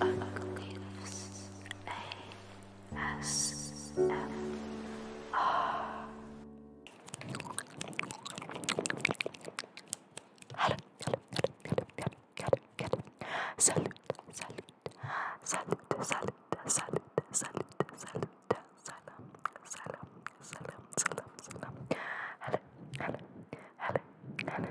Occlusives ASMR. Hello, hello, hello, hello, hello, hello. Salute, salute, salute, salute, salute, salute, salute, salam, salam, salam, salam, salam. Hello, hello, hello, hello, hello.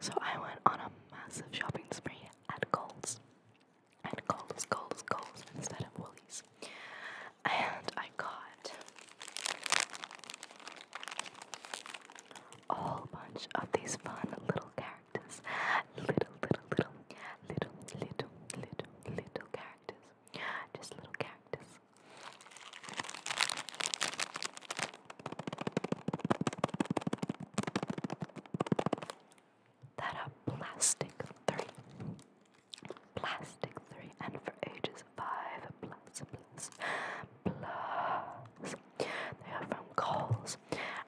So I went on a massive shopping spree at Kohl's. At Kohl's, Kohl's, Kohl's instead of Woolies. And I got a whole bunch of these fun little characters. Little, little, little, little, little, little, little characters. Just little characters. That are plastic three. Plastic three and for ages five plus plus plus. They are from Coles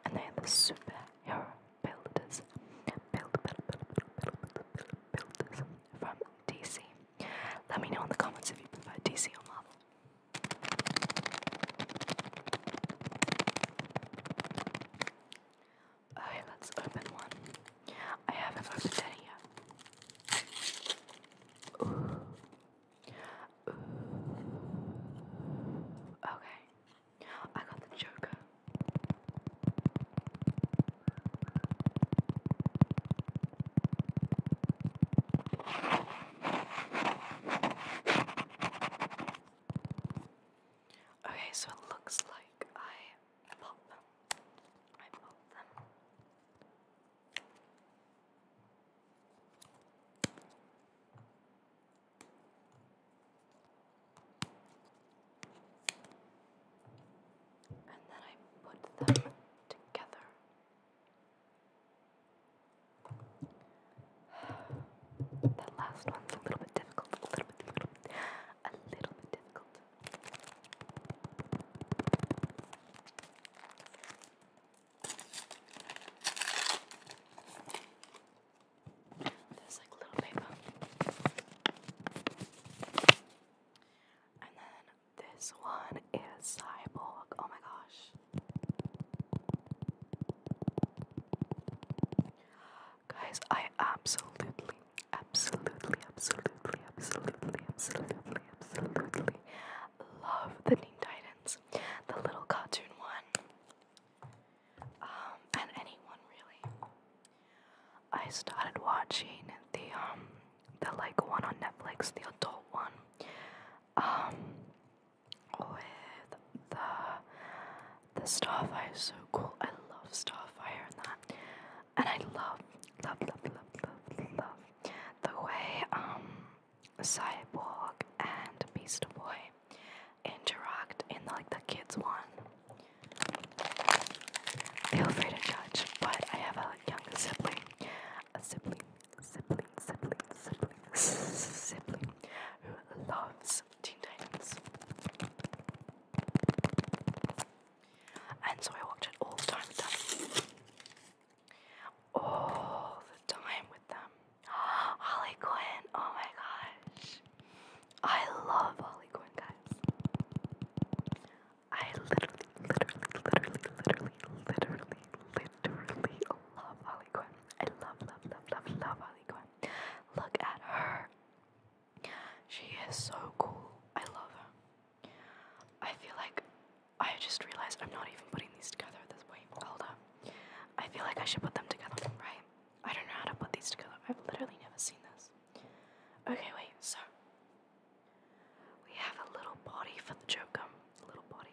and they are the superhero builders. Build, build, build, build, build, build, builders from DC. Let me know in the comments if you prefer DC or Marvel. Okay, let's open one. I haven't opened any yet. Okay, I got the Joker. Okay, so it looks like I pop them. I pop them. And then I put them together. That last one's a little bit difficult, a little bit, little a little bit difficult. There's like little paper, and then this one is Cyborg. Oh my gosh. Guys, I absolutely, absolutely, absolutely, absolutely, absolutely, absolutely love the Teen Titans. The little cartoon one. Um, and anyone really. I started watching the um the like one on Netflix, the adult one. Um with the the Starfire so cool. I love Starfire and that, and I love love love love love the way um Cyborg and Beast Boy interact in the, like the kids one. Feel free to judge, but I have a younger sibling, a sibling, sibling, sibling, sibling, sibling who loves Teen Titans. And so I watch it all the time All the time with them. Harley Quinn, oh my gosh. I love Harley Quinn, guys. I literally, literally, literally, literally, literally, literally oh love Harley Quinn. I love, love, love, love, love Harley Quinn. Look at her. She is so cool. I love her. I feel like I just realized I'm not even putting these together at this point. Hold up. I feel like I should put them together, right? I don't know how to put these together. I've literally never seen this. Okay, wait, so we have a little body for the Joker. Um, a little body.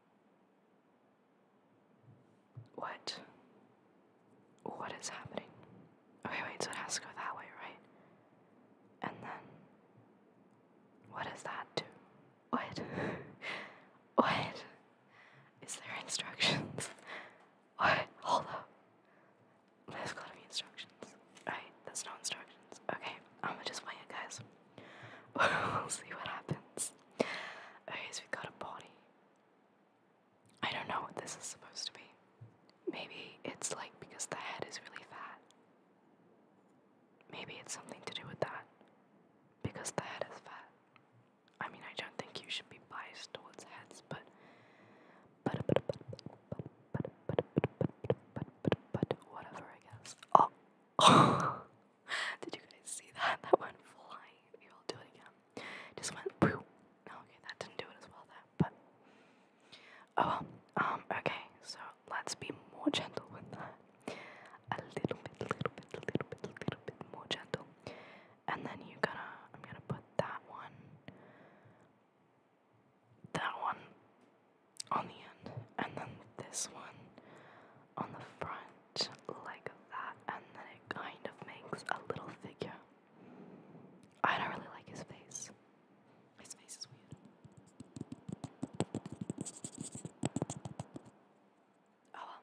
What? What is happening? Okay, wait, so it has to go that way, right? And then. What does that do? What? what? Is there instructions? What? Hold up. There's gotta be instructions. Alright, There's no instructions. Okay, I'm gonna just wait it, guys. we'll see what happens. Okay, so we got a body. I don't know what this is supposed to be. Maybe it's like because the head is really fat. Maybe it's something to do with that. Because the head is fat. I mean, I don't think you should be biased towards heads, but. But, but, but, but, but, but, but, but, but, whatever, I guess. Oh! Did you guys see that? That went flying. Here, i do it again. Um, just went poof. Okay, that didn't do it as well there, but oh um, okay, so let's be more gentle with that. A little bit, little bit, little bit, little bit more gentle. And then you're gonna I'm gonna put that one that one on the end and then this one on the front like that, and then it kind of makes a little figure. I don't really like his face. His face is weird. Oh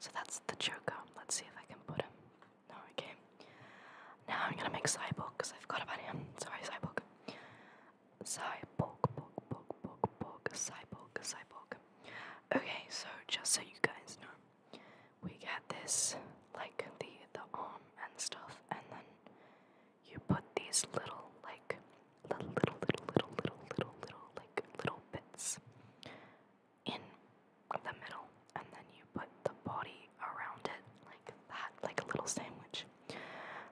So that's the Joker. Let's see if I can put him. No, okay. Now I'm gonna make Cyborg because I forgot about him. Sorry, Cyborg. Cyborg, borg, borg, borg, borg, Cyborg, Cyborg. Okay, so just so you guys know, we get this like the the arm and stuff, and then you put these little like little little little little little little little like little bits in the middle, and then you put the body around it like that, like a little sandwich,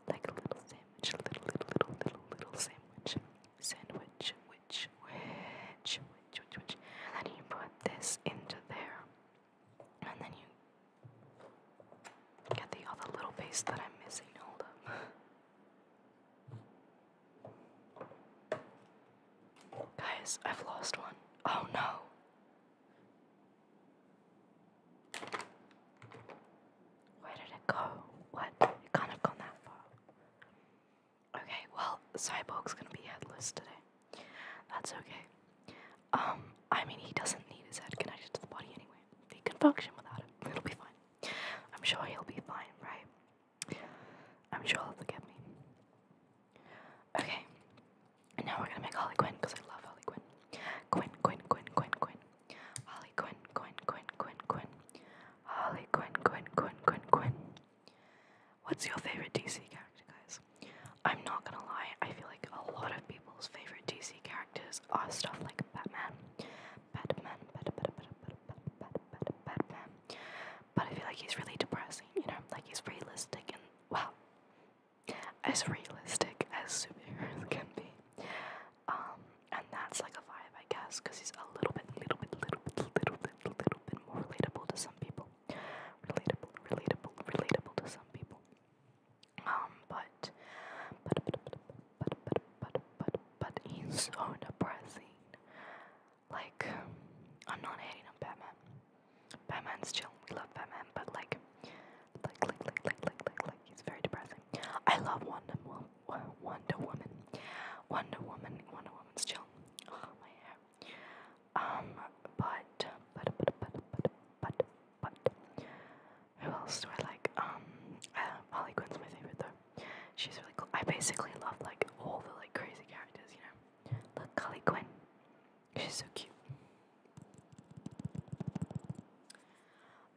like a little sandwich, little little little little little sandwich sandwich, which, which, which, which, which, and then you put this into there, and then you get the other little piece that I'm missing. Hold up. Guys, I've lost one. Oh no. Where did it go? What? It can't have gone that far. Okay, well, Cyborg's gonna be headless today. That's okay. Um, I mean, he doesn't need his head connected to the body anyway. He can function without it. It'll be fine. I'm sure he'll be fine, right? I'm sure he'll forgive me. Okay, and now we're gonna make Harley Quinn because I love Harley Quinn. Quinn, Quinn, Quinn, Quinn, Quinn. Harley Quinn, Quinn, Quinn, Quinn, Quinn. Harley Quinn, Quinn, Quinn, Quinn, Quinn. What's your favorite DC character, guys? I'm not gonna lie, I feel like a lot of people's favorite DC characters are stuff like Batman. Batman, Batman, Batman, Batman, Batman. But I feel like he's really depressing, you know? Like he's realistic and, well, as realistic as superheroes can be. Um, and that's like a vibe, I guess, because he's a little bit, little bit, little bit, little bit, little bit more relatable to some people. Relatable, relatable, relatable to some people. Um, but, but, but, but, but, but, but, but, but he's so depressing. Like, I'm not hating on Batman. Batman's chill. We love Batman, but like, like, like, like, like, like, like, like he's very depressing. I love Wonder Woman. Wonder Woman. Wonder Woman. Wonder Woman's chill. Oh, my hair. Um, but, but, but, but, but, but, but, who else do I like? Um, uh, Harley Quinn's my favorite though. She's really cool. I basically love like all the like crazy characters, you know. Look, Harley Quinn. She's so cute.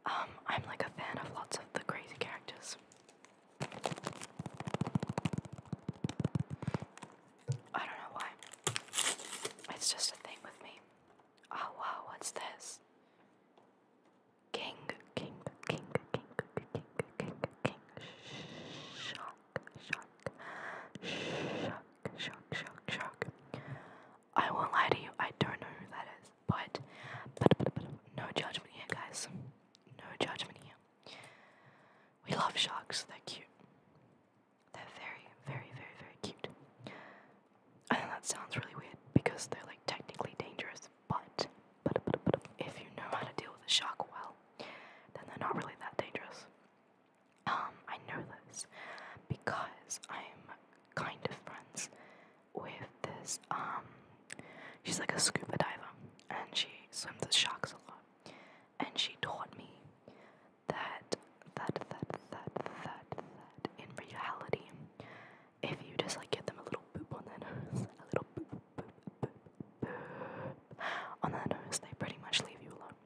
Um, I'm like a fan of lots of the crazy characters. I don't know why. It's just a thing with me. Oh wow, what's this? King, king, king, king, king, king, king, shock, shock, shock, shock, shock, shock. I won't lie to you, I don't know who that is, but, no judgment here, guys. No judgment here. We love sharks, they're cute. They're very, very, very, very cute. I know that sounds really weird because they're like technically dangerous, but, but if you know how to deal with a shark well, then they're not really that dangerous. Um, I know this because I'm kind of friends with this um She's like a scuba diver and she swims with sharks a lot. And she taught me that that that that that that in reality, if you just like give them a little boop on their nose, a little boop boop boop boop on their nose, they pretty much leave you alone.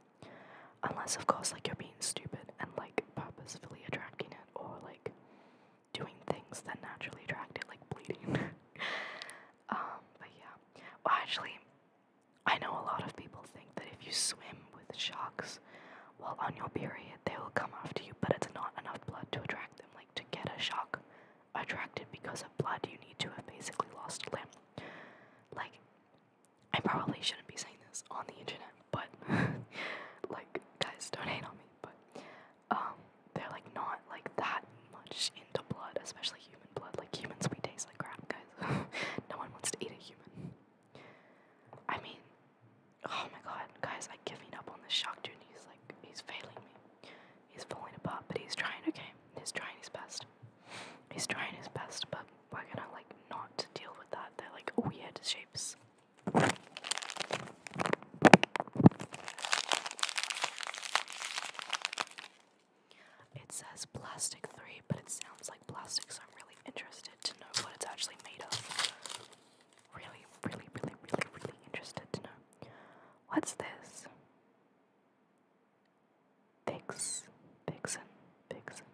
Unless of course like you're being stupid and like purposefully attracting it or like doing things that naturally attract it, like bleeding. um, but yeah. Well, actually, I know a lot of people think that if you swim with sharks while on your period, they will come after you, but it's not enough blood to attract them. Like, to get a shark attracted because of blood, you need to have basically lost a limb. Like, I probably shouldn't be saying this on the internet, but like, guys, don't hate on me. But um, they're like not like that much into blood, especially human blood. Like humans, we taste like crap, guys. no one wants to eat a human. I mean, oh my god, guys, I'm giving up on this shock dude. He's like, he's failing me. He's falling apart, but he's trying. Okay, he's trying his best. He's trying his best, but we're gonna like not deal with that. They're like weird shapes. It says plastic 3, but it sounds like plastic, so I'm really interested to know what it's actually made of. Really, really, really, really, really interested to know. What's this? Vix, Vixen, Vixen,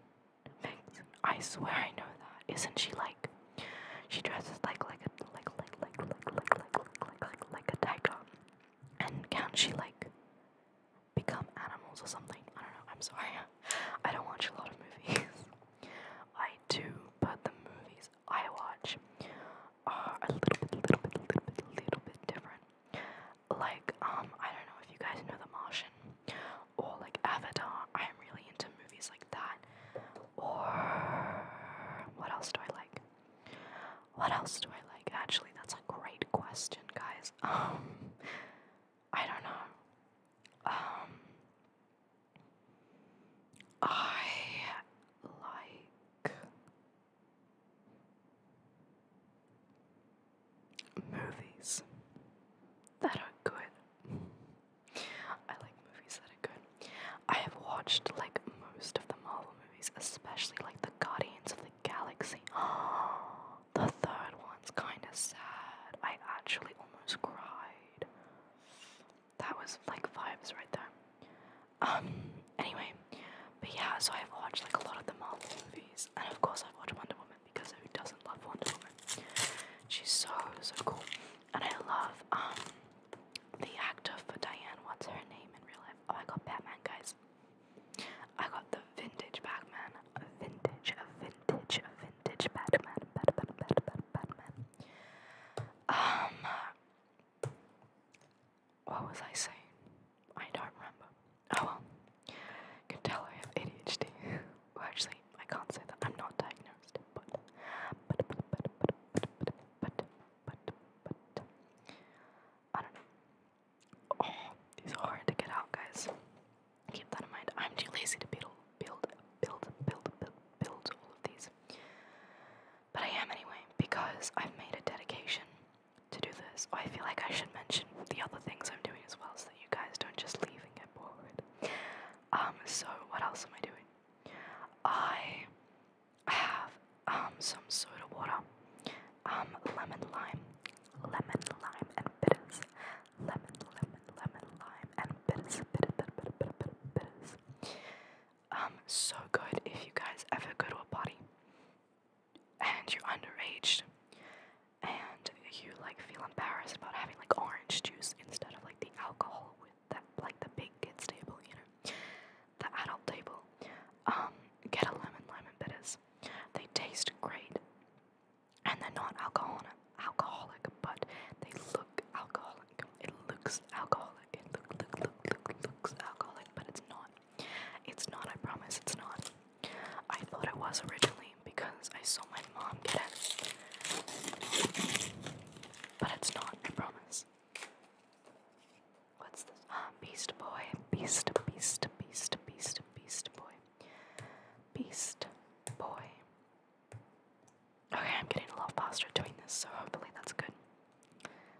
Vixen. I swear I know that. Isn't she like? She dresses like like a like like like, a tiger. And can she like become animals or something? I don't know. I'm sorry. I don't watch a lot of movies. I do, but the movies I watch are a little bit, little bit, little bit, little bit different. Like, um, I don't know if you guys know The Martian or like Avatar. I am really into movies like that. Or what else do I like? What else do I like? Actually, that's a great question, guys. Um, I don't know. Um, I like movies that are good. I like movies that good. I have watched like most of the Marvel movies, especially like the Guardians of the Galaxy. the third one's kind of sad. I actually almost cried. That was like vibes right there. Um. Anyway, but yeah. So I've watched like a lot of the Marvel movies, and of course i watch Wonder Woman because who doesn't love Wonder Woman? She's so so cool, and I love um the actor for Diane, what's her name in real life? Oh, I got Batman, guys. I got the vintage Batman. Vintage, vintage, vintage Batman. Batman, Batman, Batman. Um, what was I saying? I don't remember. Oh well. You can tell I have ADHD. well, actually, I can't say that. I'm not diagnosed. but, but, but, I don't know. Oh, these are hard to get out, guys. Keep that in mind. I'm too lazy to build, build, build, build, build, all of these. But I am anyway, because I've made a dedication to do this. I feel like I should mention the other things I'm doing as well so that you guys don't just leave and get bored. Um, so what else am I doing? I I have um, some soda water, um, lemon lime, lemon lime and bitters, lemon lemon lemon lime and bitters, bitter bitter bitter bitter, bitters. Um, so good if you guys ever go to a party and you're underage and you like feel embarrassed about having like orange juice instead of like the alcohol with that, like the big kids table, you know, the adult table. Um, get a lemon lemon bitters. They taste great, and they're not alcoholic. Alcoholic, but they look alcoholic. It looks alcoholic. It look look look look looks alcoholic, but it's not. It's not. I promise, it's not. I thought it was originally because I saw my mom get it. But it's not, I promise. What's this? Ah, Beast Boy. Beast, Beast, Beast, Beast, Beast Boy. Beast Boy. Okay, I'm getting a lot faster doing this, so hopefully that's good.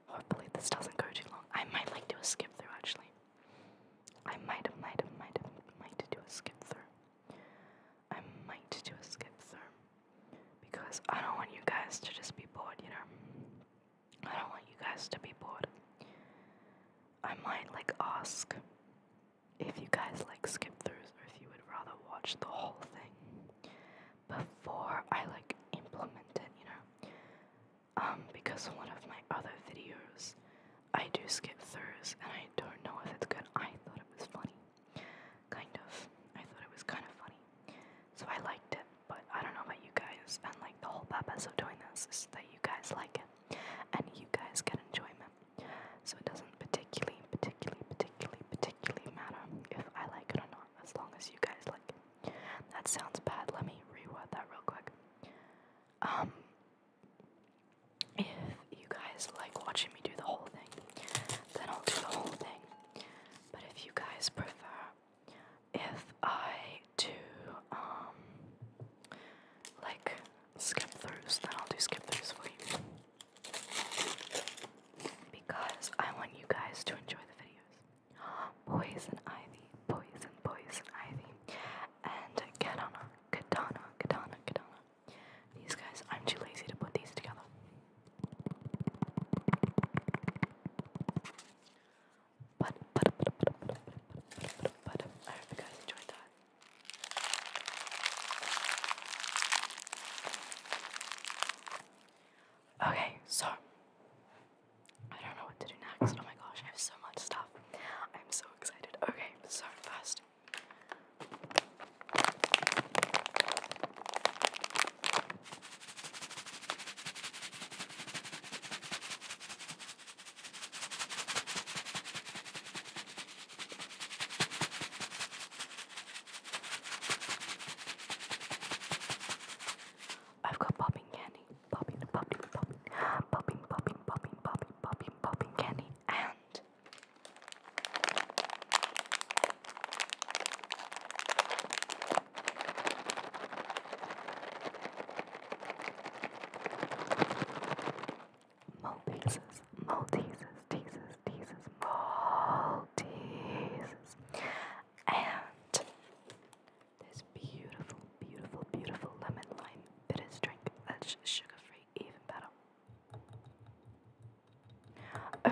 Hopefully this doesn't go too long. I might like do a skip through actually. I might, might, might, might do a skip through. I might do a skip through because I don't want you guys to just be bored, you know? I don't want you guys to be bored. I might like ask if you guys like skip throughs or if you would rather watch the whole thing before I like implement it, you know? Um, because one of my other videos I do skip throughs and I don't know if it's good. I thought it was funny. Kind of. I thought it was kind of funny. So I liked it, but I don't know about you guys. And like the whole purpose of doing this is that you guys like it and you guys get enjoyment. So it doesn't particularly, particularly, particularly, particularly matter if I like it or not, as long as you guys like it. That sounds bad. Let me reword that real quick. Um, if you guys like watching me do the whole thing, then I'll do the whole thing. But if you guys prefer, if I do um like skip throughs, then I'll do skip throughs for you. Because I want you guys to enjoy the videos. Poison Ivy, poison, poison ivy. And katana, katana, katana, katana. These guys, I'm too lazy to put these together. But, but, but, but, but, but, but, but, I hope you guys enjoyed that. Okay, so I don't know what to do next. Oh my gosh, I have so much stuff. I'm so excited. Okay, so first. I've got popping candy, popping, popping, popping, popping, popping, popping, popping, popping, popping candy, and Malteses, Malteses, Teases, Teases, Malteses. And this beautiful, beautiful, beautiful lemon lime bitters drink that's sugar free, even better.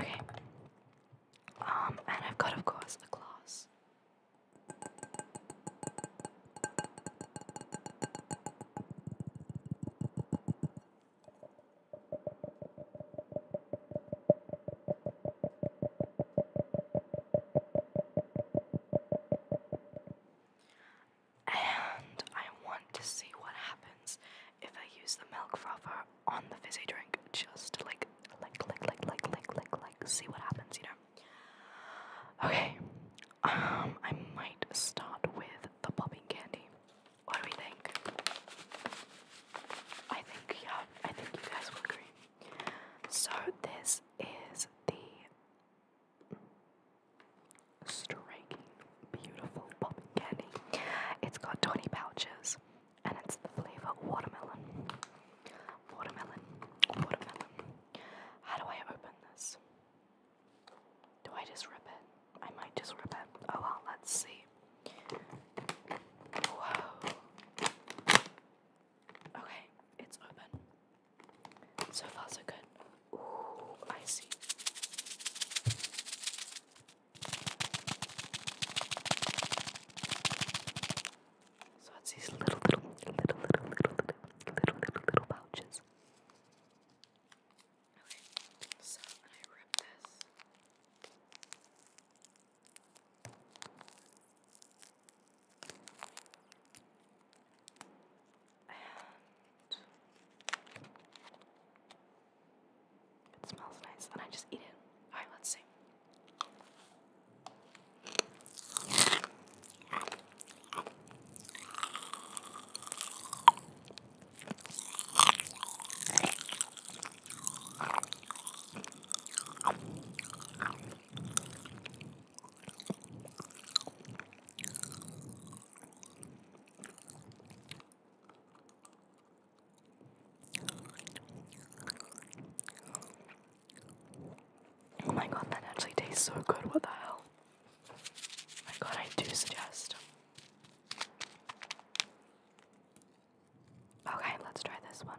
Okay, um, and I've got, of course, a glass. And I want to see what happens if I use the milk frother on the fizzy drink just like like like like like like like see what happens, you know. Okay. Um I might start with the popping candy. What do we think? I think yeah, I think you guys will agree. So this is the striking beautiful popping candy. It's got 20 pouches and it's the flavor watermelon. Watermelon, watermelon. How do I open this? Do I just rip it? I might just rip it. Oh well, let's see. Whoa. Okay, it's open. So far, so good. Ooh, I see. So it's these little, little, little, little, little, little, little, little, pouches. Okay, so when I rip this, and it smells nice, Then I just eat it. Alright, let's see. Oh my god, that actually tastes so good. What the hell? my god, I do suggest. Okay, let's try this one.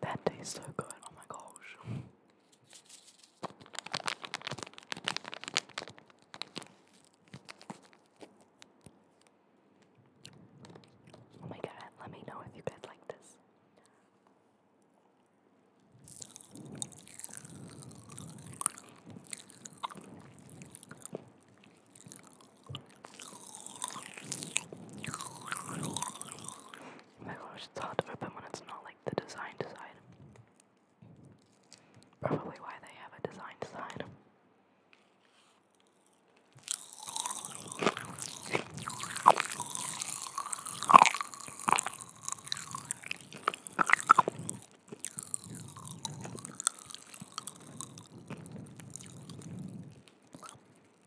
That tastes so good. Oh my gosh. Oh my god, let me know if you guys like this. Oh my gosh, it's hard to open when it's not like the design design. Probably why they have a design design.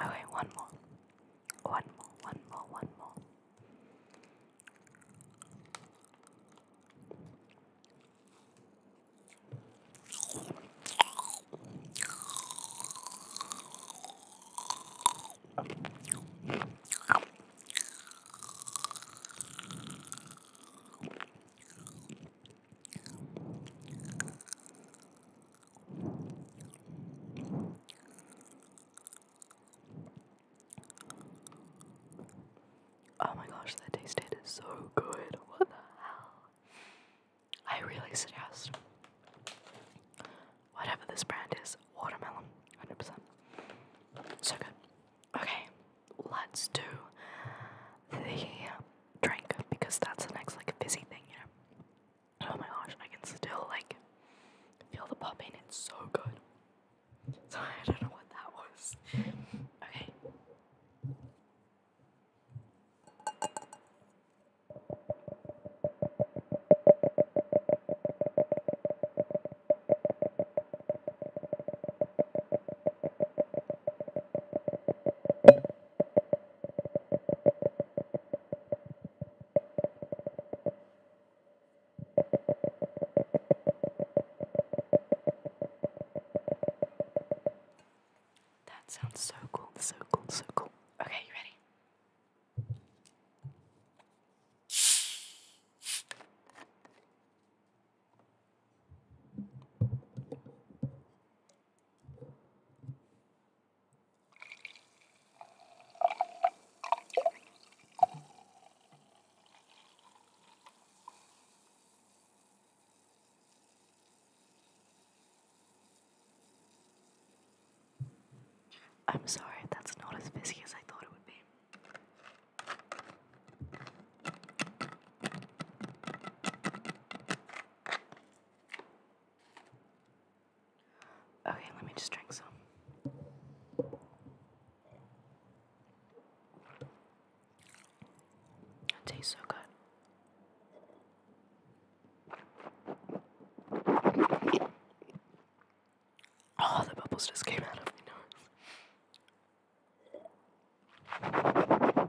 Okay, one more. One more, one more, one more. Oh my gosh, that tasted so good. What the hell? I really suggest whatever this brand is, watermelon, 100%. So good. Okay, let's do the drink because that's the next like busy thing, Oh my gosh, I can still like feel the popping. It's so good. So I don't know what that was. Okay. That sounds so cool, so cool, so cool. Okay, you ready? I'm sorry, that's not as busy as I thought it would be. Okay, let me just drink some. It tastes so good. Oh, the bubbles just came out of my nose.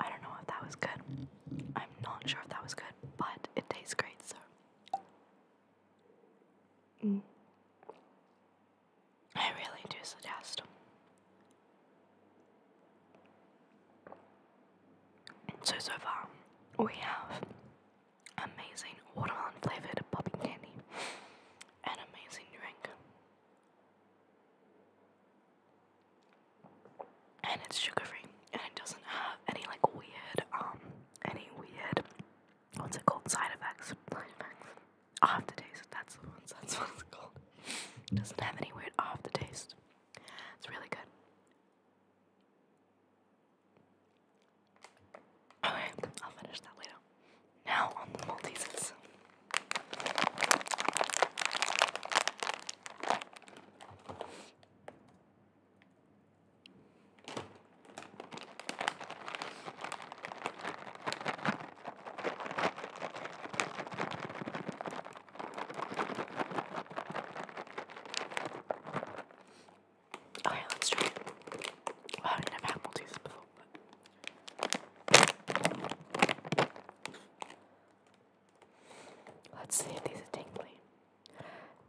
I don't know if that was good. I'm not sure if that was good, but it tastes great, so. Mm. I really do suggest. So, so far, we have amazing watermelon flavored popping candy, an amazing drink, and it's sugar free, and it doesn't have any like weird um any weird what's it called side effects side effects aftertaste that's the one that's what it's called doesn't have any weird off the taste it's really good. Okay, I'll finish that later. Now on the Maltesers. Okay, let's try it. I mean, i had Maltesers before, but... Let's see if these are tingly.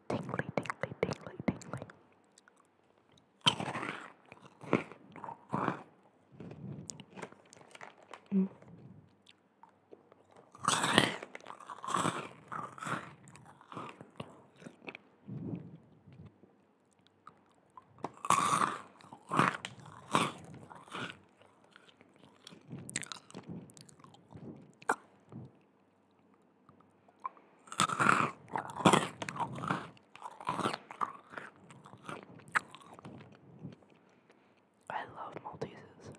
Tingly, tingly, tingly, tingly. Mm. I love Maltesers.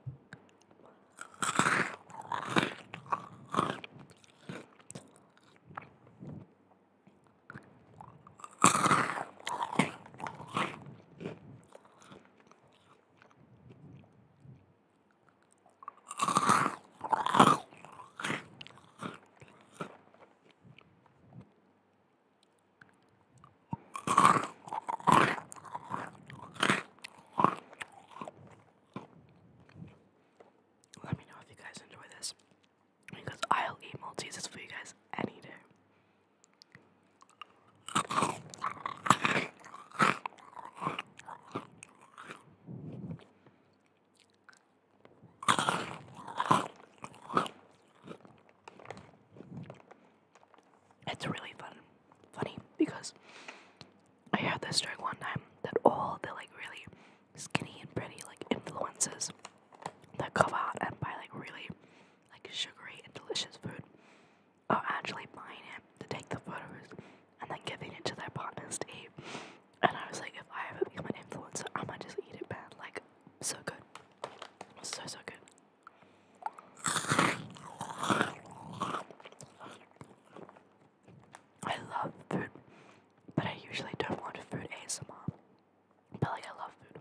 Let me know if you guys enjoy this. Because I'll eat Maltesers for you guys any day. It's really fun, funny because I had this joke one time that all the like really skinny and pretty like influencers that go out and buy like really like sugary and delicious food are actually buying it to take the photos and then giving it to their partners to eat. And I was like, if I ever become an influencer, I might just eat it bad. Like, so good. So, so good. I love food, but I usually don't want food as much. But like, I love food.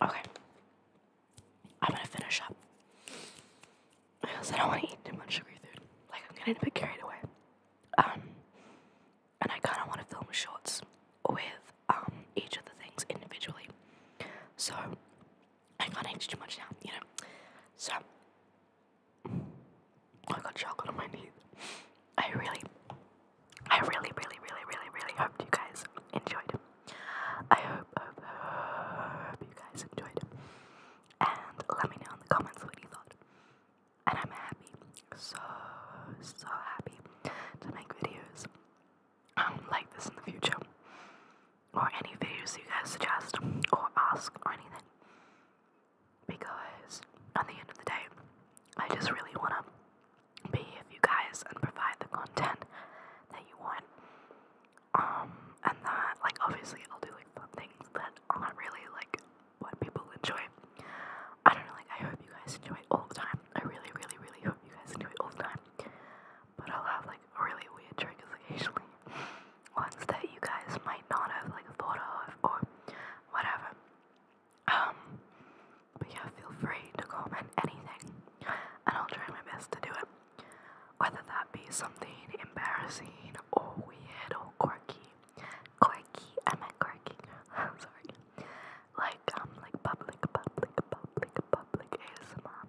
Okay. I'm gonna finish up. I also don't want to eat too much sugary food. Like, I'm getting a bit carried away. Um, and I kind of want to film shorts with um, each of the things individually. So, I can't eat too much now, you know. So, I got chocolate on my teeth. I really, I really, really, really, really, really hope you guys enjoyed. I hope, hope, hope you guys enjoyed. And let me know in the comments what you thought. And I'm happy, so, so happy to make videos um, like this in the future or any videos you guys suggest or ask or anything. Because at the end of the day, I just really want to be with you guys and provide the content that you want. Um, and that, like, obviously, I'll do like fun things that aren't really like what people enjoy. I don't know, like, I hope you guys enjoy it all the time. I really, really, really hope you guys enjoy it all the time. But I'll have like really weird triggers occasionally. Ones that you guys might not have like thought of or whatever. Um, but yeah, feel free to comment anything and I'll try my best to do it. Whether that be something embarrassing or weird or quirky. Quirky, I am a quirky. I'm sorry. Like um like public public public public ASMR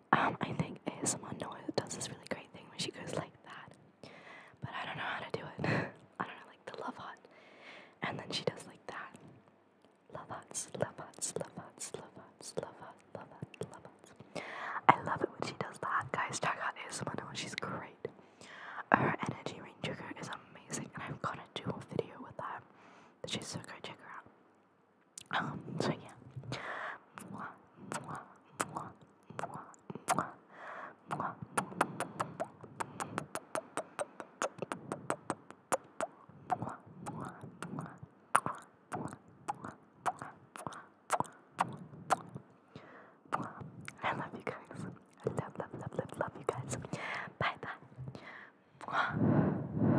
Um, I think ASMR Noah does this really great thing when she goes like that. But I don't know how to do it. I don't know, like the love heart. And then she does like that. Love hearts, love hearts, love hearts, love hearts, love hearts, love hearts, love hearts. I love it when she does that. Guys, check out ASMR Noah. She's great. Her energy rain trigger is amazing, and I've got a dual video with that. She's so great. Check her out. Um, so yeah. Mwah, mwah, mwah, mwah, mwah, mwah. Mwah, mwah, mwah, mwah, mwah, mwah, mwah, mwah, mwah. I love you guys. I love, love, love, love, love you guys. Bye bye. Mwah.